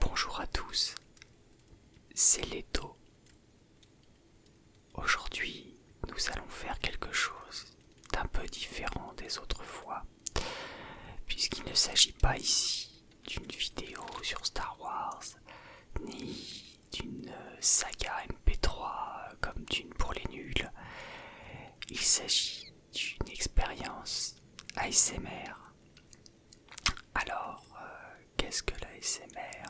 Bonjour à tous, c'est Leto. Aujourd'hui, nous allons faire quelque chose un peu différent des autres fois, puisqu'il ne s'agit pas ici d'une vidéo sur Star Wars, ni d'une euh, saga MP3 comme d'une pour les nuls. Il s'agit d'une expérience ASMR. Alors, euh, qu'est-ce que l'ASMR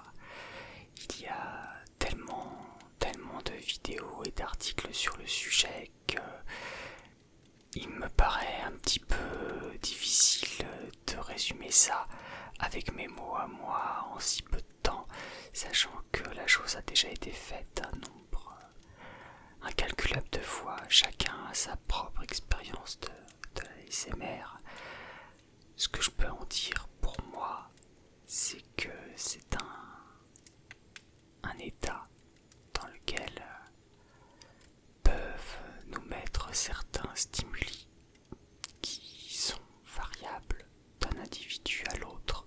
Il y a tellement, tellement de vidéos et d'articles sur le sujet que euh, il me paraît un petit peu difficile de résumer ça avec mes mots à moi en si peu de temps, sachant que la chose a déjà été faite un nombre euh, incalculable de fois, chacun a sa propre expérience de, la l'ASMR. Ce que je peux en dire pour moi, c'est que c'est un état dans lequel euh, peuvent nous mettre certains stimuli qui sont variables d'un individu à l'autre.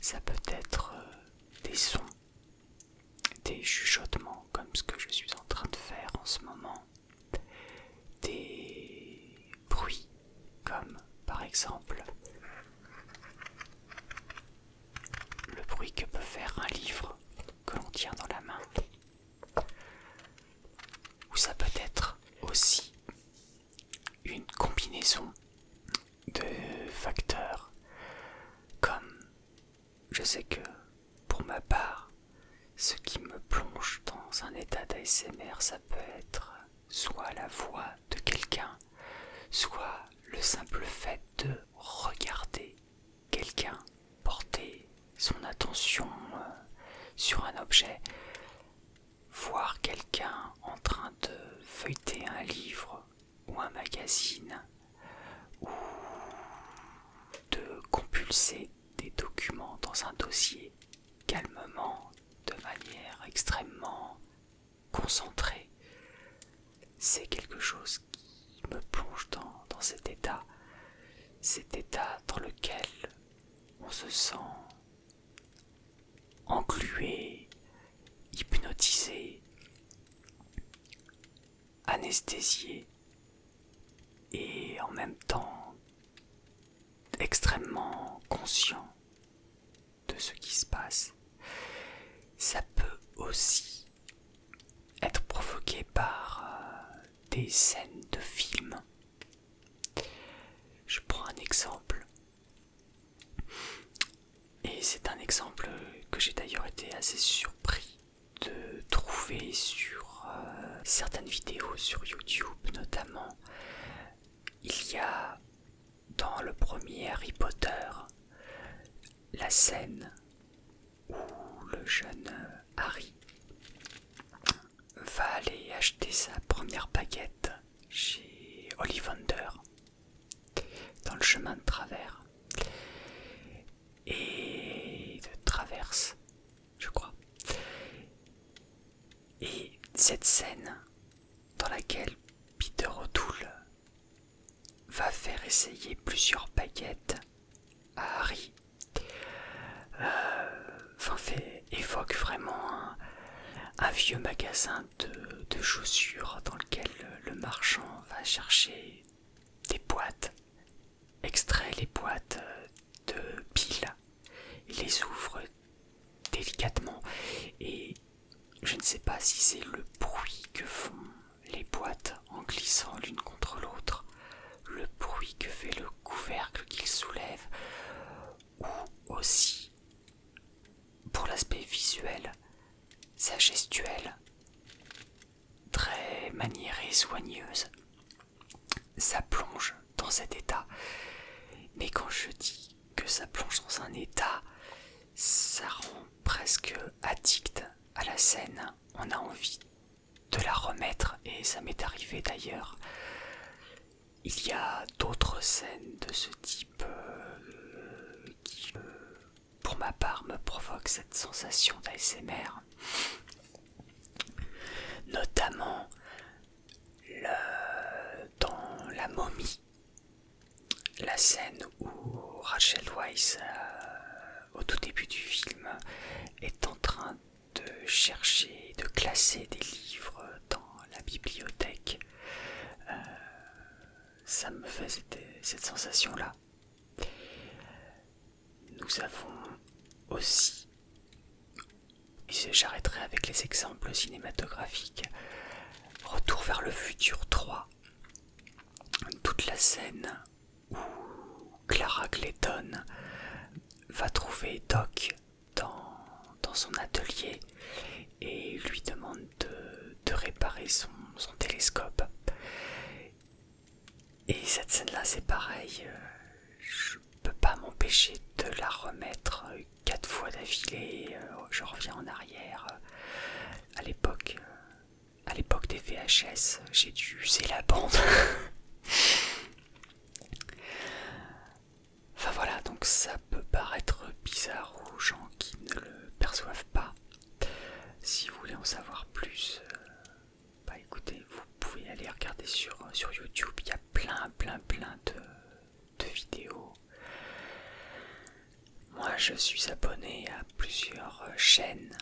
Ça peut être euh, des sons, des chuchotements comme ce que je suis en train de faire en ce moment, des bruits comme par exemple le bruit que peut faire un livre que l'on tient dans la main. Ou ça peut être aussi une combinaison de facteurs comme je sais que pour ma part ce qui me plonge dans un état d'ASMR ça peut être soit la voix de quelqu'un, soit le simple fait de regarder quelqu'un porter son attention euh, sur un objet, voir quelqu'un en train de feuilleter un livre ou un magazine, ou de compulser des documents dans un dossier calmement, de manière extrêmement concentré. C'est quelque chose qui me plonge dans, cet état, cet état dans lequel on se sent englué, hypnotisé, anesthésié et en même temps extrêmement conscient de ce qui se passe. Ça peut aussi être provoqué par euh, des scènes de films. Je prends un exemple. Et c'est un exemple que j'ai d'ailleurs été assez surpris de trouver sur euh, certaines vidéos sur YouTube notamment. Il y a dans le premier Harry Potter, la scène où le jeune Harry va aller acheter sa première baguette chez Ollivander dans le chemin de travers et de traverse, je crois. Et cette scène dans laquelle Peter O'Toole va faire essayer plusieurs baguettes à Harry, euh, fait, évoque vraiment un, vieux magasin de, chaussures dans lequel le marchand va chercher des boîtes, extrait les boîtes de piles, les ouvre délicatement. Et je ne sais pas si c'est le bruit que font les boîtes en glissant l'une contre l'autre, le bruit que fait le couvercle qu'il soulève, ou aussi, pour l'aspect visuel, sa gestuelle, très maniérée, soigneuse, ça plonge dans cet état. Mais quand je dis que ça plonge dans un état, ça rend presque addict à la scène. On a envie de la remettre et ça m'est arrivé d'ailleurs. Il y a d'autres scènes de ce type euh, qui, euh, pour ma part, me provoquent cette sensation d'ASMR. Notamment le, dans la momie la scène où Rachel Weisz, euh, au tout début du film, est en train de chercher, de classer des livres dans la bibliothèque, euh, ça me fait cette sensation-là. Nous avons aussi J'arrêterai avec les exemples cinématographiques. Retour vers le futur 3. Toute la scène où Clara Clayton va trouver Doc dans, dans son atelier et lui demande de, réparer son, son télescope. Et cette scène-là, c'est pareil. Euh, je peux pas m'empêcher de la remettre quatre fois d'affilée, euh, je reviens en arrière. Euh, à l'époque, euh, à l'époque des VHS, j'ai dû user la bande. enfin voilà, donc ça peut paraître bizarre aux gens qui ne le perçoivent pas. Si vous voulez en savoir plus, bah écoutez, vous pouvez aller regarder sur, sur YouTube, il y a plein plein plein de vidéos moi, je suis abonné à plusieurs chaînes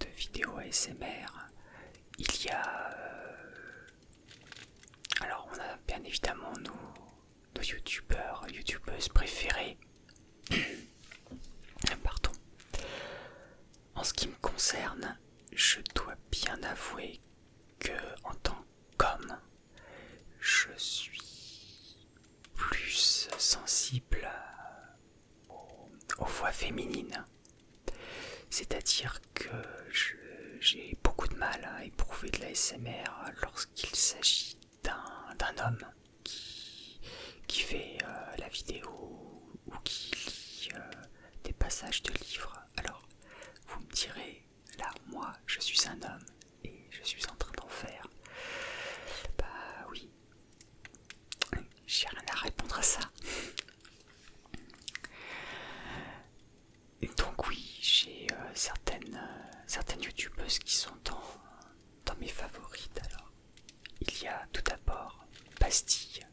de vidéos ASMR. Il y a... Euh, alors, on a bien évidemment nos, nos youtubeurs, youtubeuses préférées. Pardon. En ce qui me concerne, je dois bien avouer que en tant qu'homme, je suis plus sensible aux, voix féminines. C'est-à-dire que j'ai beaucoup de mal à éprouver de la SMR lorsqu'il s'agit d'un homme qui, fait euh, la vidéo ou qui lit euh, des passages de livres. Alors, vous me direz, Là, moi, je suis un homme et je suis en train d'en faire. Bah oui. J'ai rien à répondre à ça. donc oui, j'ai euh, certaines, euh, certaines youtubeuses qui sont dans, mes favorites. Alors, il y a tout d'abord Bastille,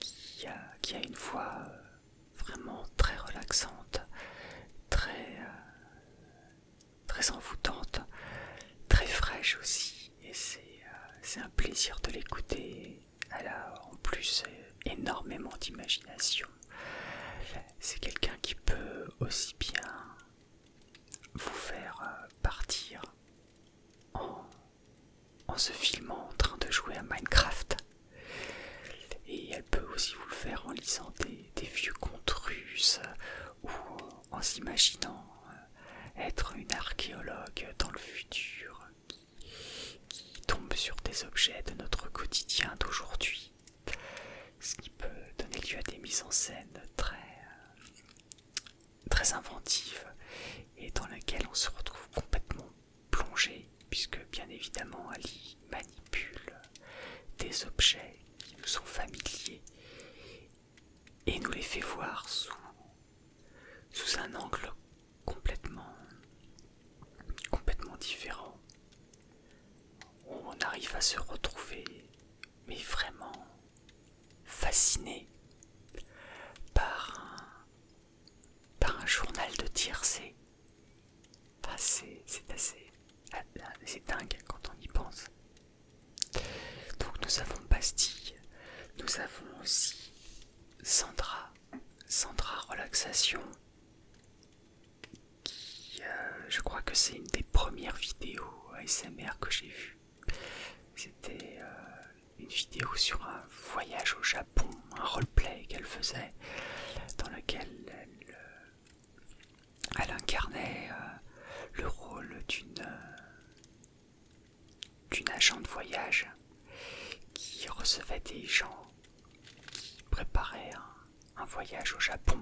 qui a, une voix euh, vraiment très relaxante, très, euh, très envoûtante, très fraîche aussi. Et euh, c'est un plaisir de l'écouter. Elle a en plus euh, énormément d'imagination. C'est quelqu'un qui peut aussi bien vous faire partir en se filmant en train de jouer à Minecraft et elle peut aussi vous le faire en lisant des, vieux contes russes ou en s'imaginant euh, être une archéologue dans le futur qui, tombe sur des objets de notre quotidien d'aujourd'hui. Ce qui peut donner lieu à des mises en scène très, très inventives et dans lesquelles on se retrouve complètement plonger, puisque bien évidemment Ali manipule des objets qui nous sont familiers et nous les fait voir sous, sous un angle complètement, complètement différent. On arrive à se retrouver, mais vraiment fasciné par par un journal de tir, c'est assez. Ah, c'est dingue quand on y pense. Donc nous avons Bastille, nous avons aussi Sandra, Sandra Relaxation, qui euh, je crois que c'est une des premières vidéos ASMR que j'ai vues. C'était euh, une vidéo sur un voyage au Japon un roleplay qu'elle faisait, dans lequel elle, euh, incarnait euh, le rôle d'une euh, d'une agent de voyage qui recevait des gens qui préparaient un voyage au Japon,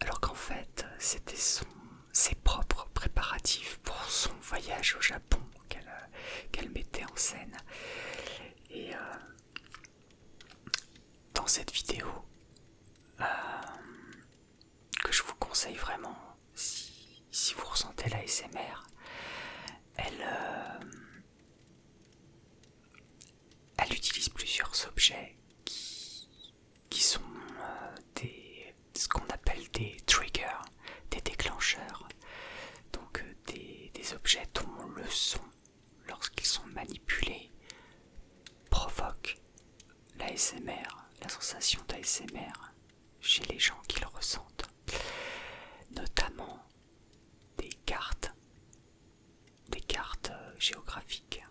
alors qu'en fait c'était ses propres préparatifs pour son voyage au Japon euh, qu'elle mettait en scène. Et euh, dans cette vidéo, euh, que je vous conseille vraiment, si, vous ressentez la elle, utilise plusieurs objets qui, sont ce qu'on appelle des triggers des déclencheurs, donc euh, des, objets dont le son, lorsqu'ils sont manipulés, provoque l'ASMR, la sensation d'ASMR chez les gens qui le ressentent, notamment des cartes, des cartes euh, géographiques,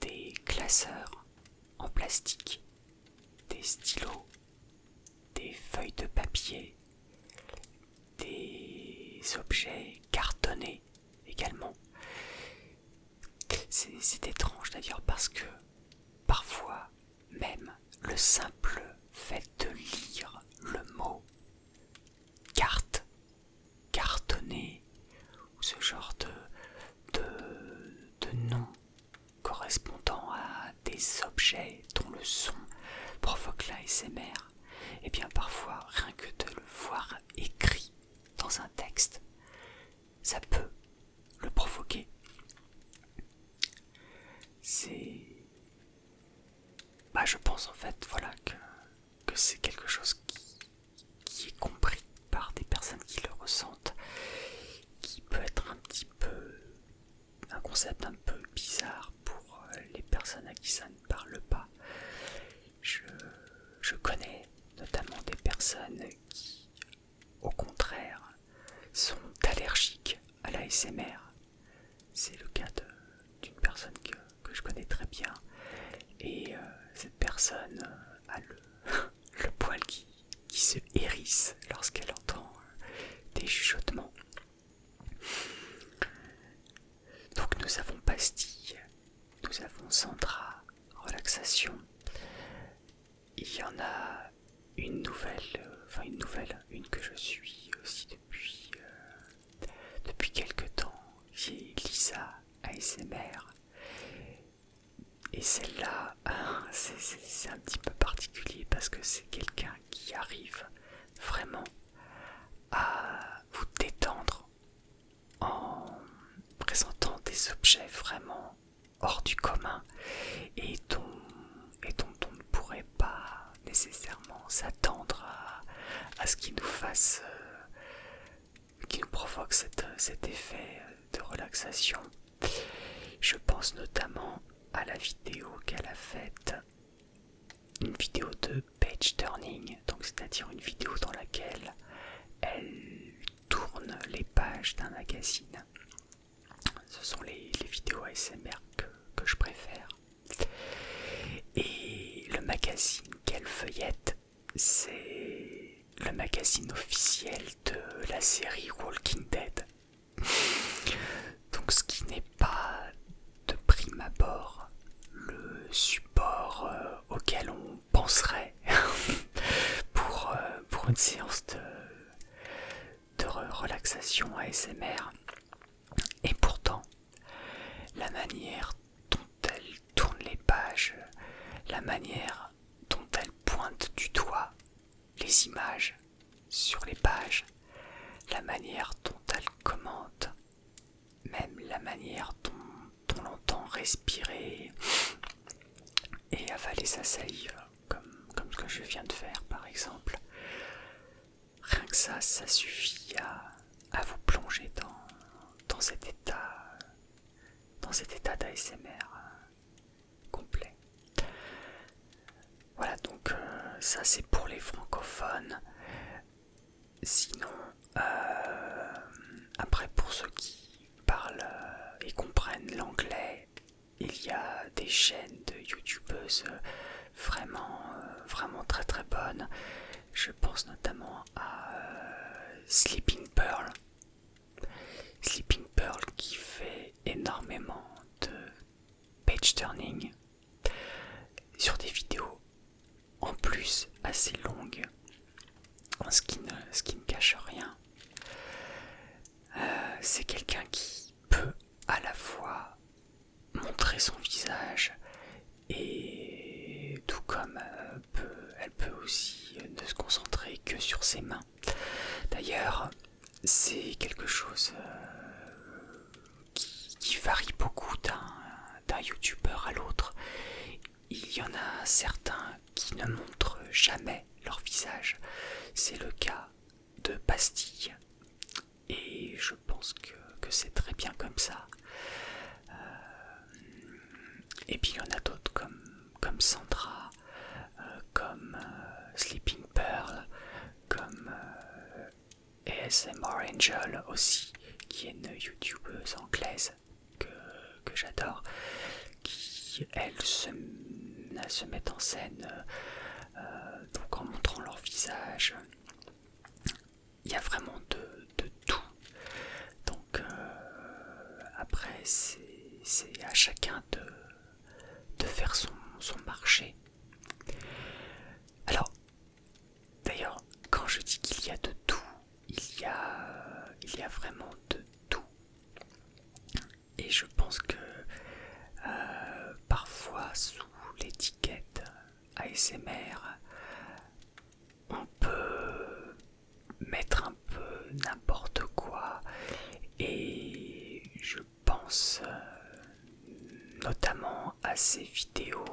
des classeurs en plastique, des stylos des feuilles de papier, des objets cartonnés également. C'est étrange d'ailleurs parce que parfois même le simple fait de lire le mot carte, cartonné ou ce genre de, de nom correspondant à des objets dont le son provoque l'ASMR, et eh bien parfois rien que de le voir écrit dans un texte, ça peut le provoquer. C'est... Bah je pense en fait, voilà, que, c'est quelque chose qui est compris par des personnes qui le ressentent, qui peut être un petit peu un concept un peu bizarre pour euh, les personnes à qui ça ne parle pas. Je, connais notamment des personnes qui, au contraire, sont allergiques à la SMR. C'est le cas d'une personne que, je connais très bien. Et euh, cette personne euh, a le poil qui, qui se hérisse lorsqu'elle entend euh, des chuchotements. Donc nous avons pastille, nous avons Sandra, relaxation. Il y en a une nouvelle, euh, enfin une nouvelle, une que je suis aussi depuis, euh, depuis quelques temps, j'ai Lisa ASMR. Et celle-là, euh, c'est un petit peu particulier parce que c'est quelqu'un qui arrive vraiment à vous détendre en présentant des objets vraiment hors du commun et dont, on ne pourrait pas nécessairement s'attendre à, ce qu'il nous fasse, euh, qu'il nous provoque cet effet de relaxation je pense notamment à la vidéo qu'elle a faite, une vidéo de page turning, donc c'est-à-dire une vidéo dans laquelle elle tourne les pages d'un magazine. Ce sont les, vidéos ASMR que, que je préfère. Et le magazine qu'elle feuillette, c'est le magazine officiel de la série Walking Dead. Donc ce qui n'est pas de prime abord le support euh, auquel on penserait euh, pour, une séance de, de relaxation ASMR. Et pourtant, la manière dont elle tourne les pages, la manière dont elle pointe du doigt les images sur les pages, la manière dont elle commente, même la manière dont, on l'entend respirer et avaler sa salive, euh, comme, ce que je viens de faire par exemple. Rien que ça, ça suffit à, vous plonger dans, cet état, dans cet état d'ASMR complet. Voilà, donc euh, ça c'est pour les francophones. Sinon, euh, après pour ceux qui parlent euh, et comprennent l'anglais, il y a des chaînes de youtubeuses vraiment, vraiment très très bonnes. Je pense notamment à Sleeping Pearl, Sleeping Pearl qui fait énormément de page turning sur des vidéos en plus assez longues, ce qui ne, ce qui ne cache rien. Euh, c'est quelqu'un qui peut à la fois montrer son visage et tout comme euh, elle peut aussi ne se concentrer que sur ses mains D'ailleurs, c'est quelque chose euh, qui, varie beaucoup d'un youtubeur à l'autre. Il y en a certains qui ne montrent jamais leur visage. C'est le cas de Pastille. Et je pense que, c'est très bien comme ça. Euh, et puis il y en a d'autres comme comme Sandra, euh, comme euh, Sleeping Pearl, comme euh, ASMR Angel aussi, qui est une youtubeuse anglaise que, j'adore, qui elle se, met en scène donc en montrant leur visage. Il y a vraiment de, tout. Donc après c'est à chacun de, de faire son, marché. Alors, d'ailleurs, quand je dis qu'il y a de tout, il y a, il y a vraiment de tout. Et je pense que euh, parfois sous l'étiquette ASMR, on peut mettre un peu n'importe quoi et je pense euh, notamment à ces vidéos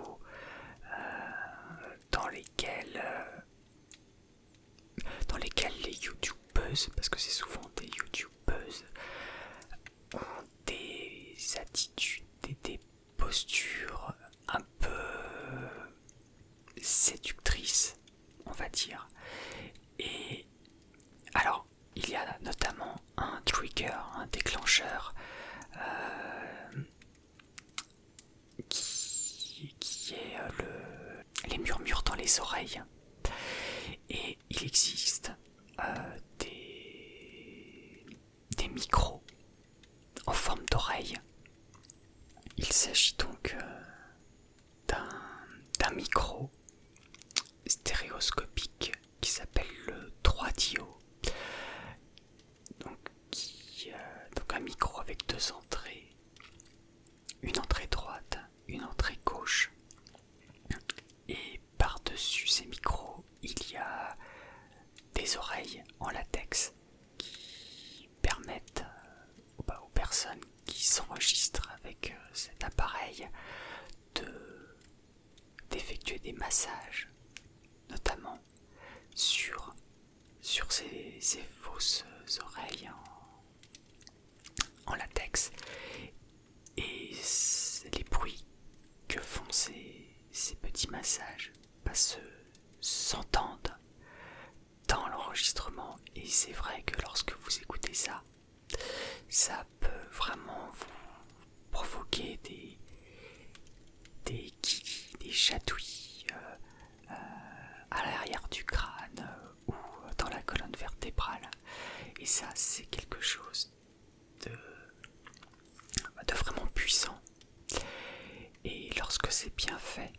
euh, dans lesquelles euh, dans lesquelles les youtubeuses parce que c'est souvent des youtubeuses ont des attitudes et des postures un peu séductrice, on va dire. Et alors, il y a notamment un trigger, un déclencheur euh, qui, est euh, le, les murmures dans les oreilles. Et il existe euh, des, des micros en forme d'oreille. Il s'agit donc d'un micro stéréoscopique qui s'appelle le 3 dio donc, qui, euh, donc un micro avec deux entrées une entrée droite une entrée gauche et par dessus ces micros il y a des oreilles en latex qui permettent euh, bah, aux personnes qui s'enregistrent avec euh, cet appareil d'effectuer des massages, notamment sur, sur ces, fausses euh, oreilles en, latex. Et les bruits que font ces, petits massages bah, s'entendent dans l'enregistrement et c'est vrai que lorsque vous écoutez ça, ça peut vraiment vous provoquer des des des chatouilles euh, euh, à l'arrière du crâne euh, ou dans la colonne vertébrale et ça c'est quelque chose de vraiment puissant et lorsque c'est bien fait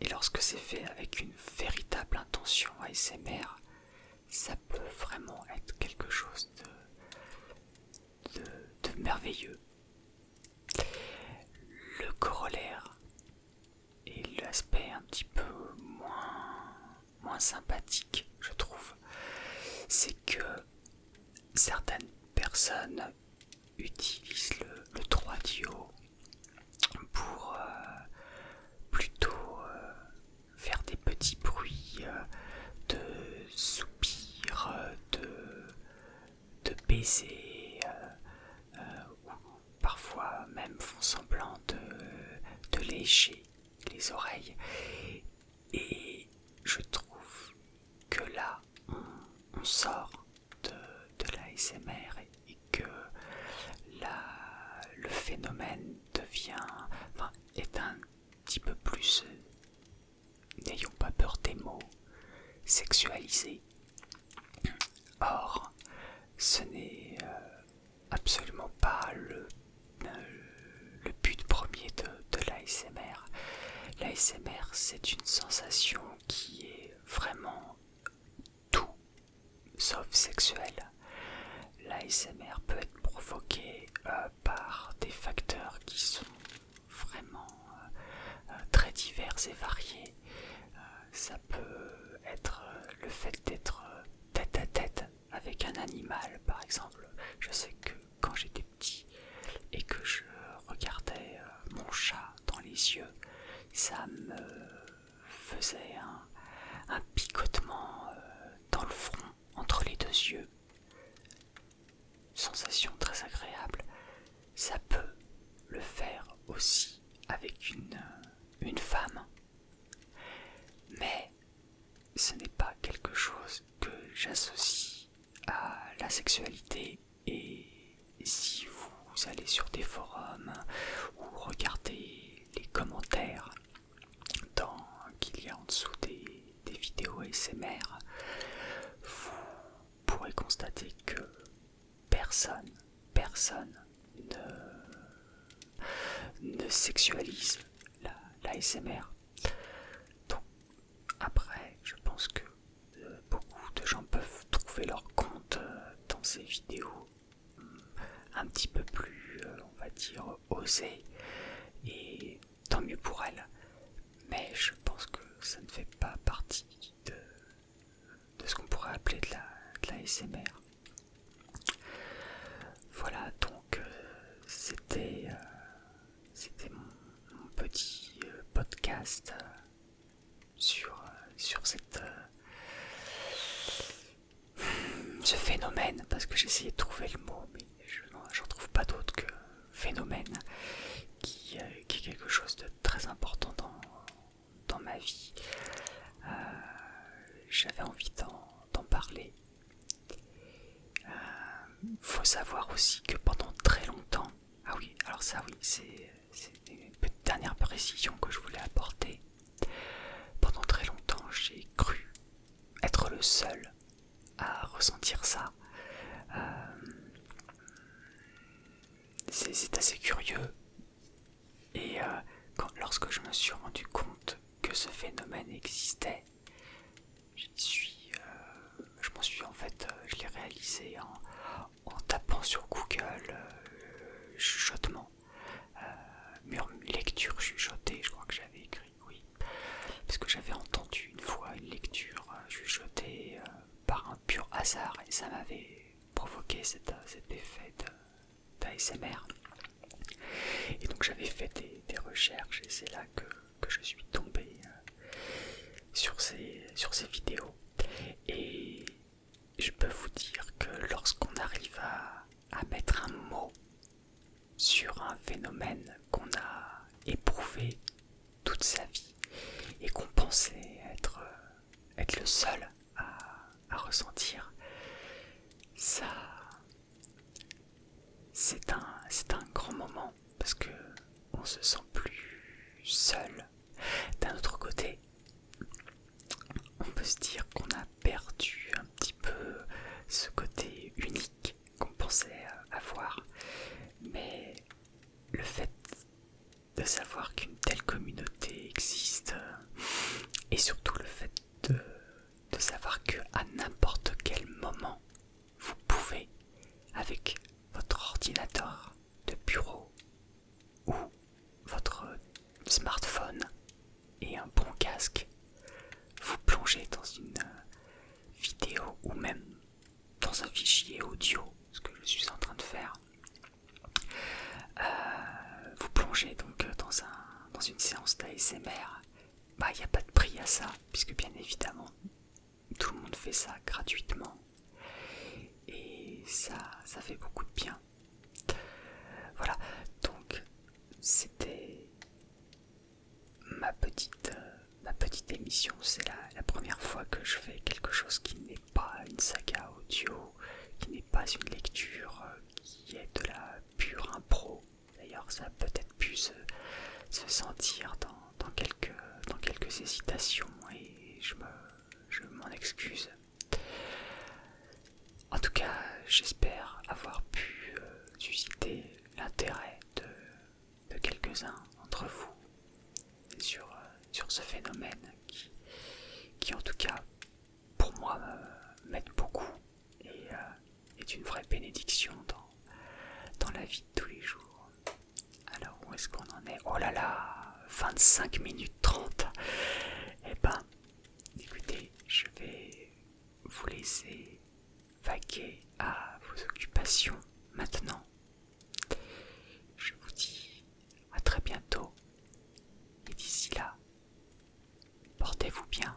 et lorsque c'est fait avec une véritable intention ASMR, ça peut vraiment être quelque chose de, merveilleux. Le corollaire et l'aspect un petit peu moins sympathique, je trouve, c'est que certaines personnes utilise le, le 3 dio pour euh, plutôt euh, faire des petits bruits euh, de soupirs, de, de ou parfois même font semblant de, léger les oreilles. Et je trouve que là, on sort de, l'ASMR et, que le phénomène devient, est un petit peu plus, euh, n'ayons pas peur des mots, sexualisé. Or, ce n'est euh, absolument pas euh, le, but premier de, de l'ASMR. L'ASMR, c'est une sensation qui est vraiment tout, sauf sexuel. L'ASMR peut être provoqué euh, par des facteurs qui sont vraiment euh, euh, très divers et variés. ça peut être le fait d'être tête à tête avec un animal, par exemple. Je sais que quand j'étais petit et que je regardais mon chat dans les yeux, ça me faisait un, picotement euh, dans le front, entre les deux yeux. Sensation très agréable. Ça peut le faire aussi avec une, euh, une femme. Mais ce n'est pas quelque chose que j'associe à la sexualité et si vous allez sur des forums ou regardez les commentaires qu'il y a en dessous des, vidéos ASMR, vous pourrez constater que personne, personne ne, sexualise la, la ASMR. Donc, après, je pense que euh, beaucoup de gens peuvent trouver leur compte euh, dans ces vidéos hum, un petit peu plus, euh, on va dire, osé Et tant mieux pour elle Mais je pense que ça ne fait pas partie de, ce qu'on pourrait appeler de la, SMR. Voilà, donc c'était mon petit podcast euh, sur, cette, euh, ce phénomène, parce que j'essayais de trouver le mot, mais je n'en trouve pas d'autre que phénomène, euh, qui, est quelque chose de très important dans, ma vie. J'avais envie d'en parler. Il faut savoir aussi que pendant très longtemps, ah oui, alors ça oui, c'est c'est une dernière précision que je voulais apporter. Pendant très longtemps, j'ai cru être le seul à ressentir ça. Euh, c'est assez curieux. Et euh, lorsque je me suis rendu compte que ce phénomène existait, euh, je m'en suis en fait, je l'ai réalisé en, en tapant sur Google euh, chuchotement, euh, lecture chuchotée, je crois que j'avais écrit, oui, parce que j'avais entendu une fois une lecture euh, chuchotée par un pur hasard et ça m'avait provoqué cet, effet d'ASMR. Et donc j'avais fait des, recherches et c'est là que, que je suis tombé sur ces, sur ces vidéos et je peux vous dire que lorsqu'on arrive à, mettre un mot sur un phénomène qu'on a éprouvé toute sa vie et qu'on pensait être, euh, le seul à, ressentir, ça c'est un grand moment parce que on se sent plus seul. D'un autre côté, on peut se dire qu'on a perdu un petit peu ce côté unique qu'on pensait avoir, mais le fait de savoir qu'une telle communauté existe et surtout le fait de, savoir que à n'importe quel moment vous pouvez avec votre ordinateur de bureau ou votre smartphone et un bon casque, vous plongez dans une vidéo ou même dans un fichier audio, ce que je suis en train de faire. Euh, vous plongez donc dans, une séance d'ASMR. Bah, il n'y a pas de prix à ça, puisque bien évidemment, tout le monde fait ça gratuitement et ça, ça fait beaucoup de bien. Voilà, donc c'était ma petite, euh, ma petite émission. C'est la, première fois que je fais quelque chose qui n'est pas une saga audio, qui n'est pas une lecture, euh, qui est de la pure impro. D'ailleurs, ça peut-être pu se sentir dans dans quelques, dans quelques hésitations et je m'en excuse. En tout cas, j'espère avoir pu euh, susciter l'intérêt de, quelques-uns d'entre vous sur, euh, ce phénomène qui, en tout cas, pour moi, m'aide beaucoup et euh, est une vraie bénédiction dans la vie de tous les jours. Alors où est-ce qu'on en est Oh là là 25 minutes 30 Eh ben, écoutez, je vais vous laisser vaquer à vos occupations maintenant. Je vous dis à très bientôt. Et d'ici là, portez-vous bien.